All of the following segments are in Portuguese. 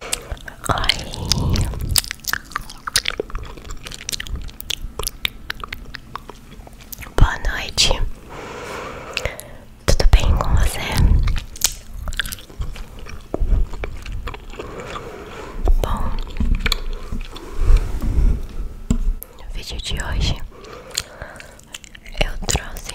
Oi. Boa noite. Tudo bem com você? Bom. No vídeo de hoje eu trouxe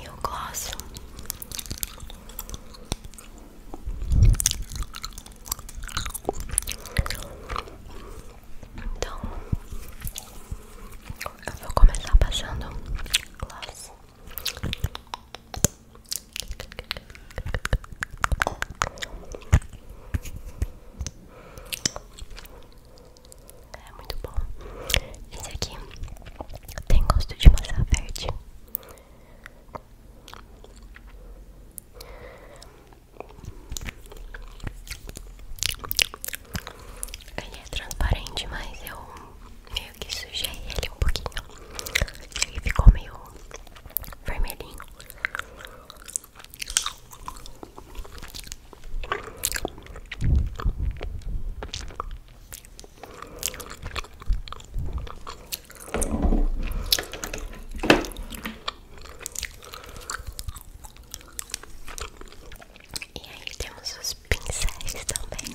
E o gloss Então Eu vou começar passando gloss é muito bom. Esse aqui tem gosto de maçã verde. Ele é transparente, mas eu meio que sujei ele um pouquinho. Ele ficou meio vermelhinho. E aí temos os pincéis também.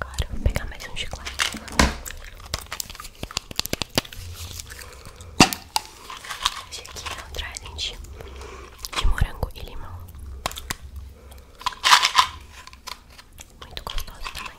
Agora vou pegar mais um chiclete. Esse aqui é um trident de morango e limão. Muito gostoso também.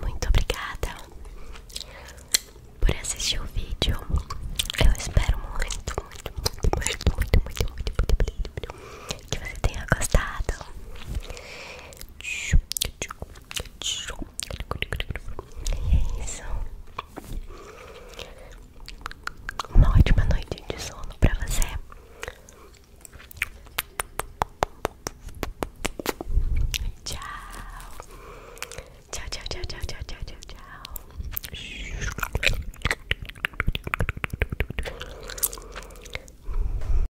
Muito obrigada por assistir o vídeo. Eu espero muito, muito, muito, muito, muito, muito, muito, muito, muito, muito que você tenha gostado. E é isso. Uma ótima noite de sono para você. Tchau, tchau, tchau, tchau, tchau, tchau, tchau, tchau.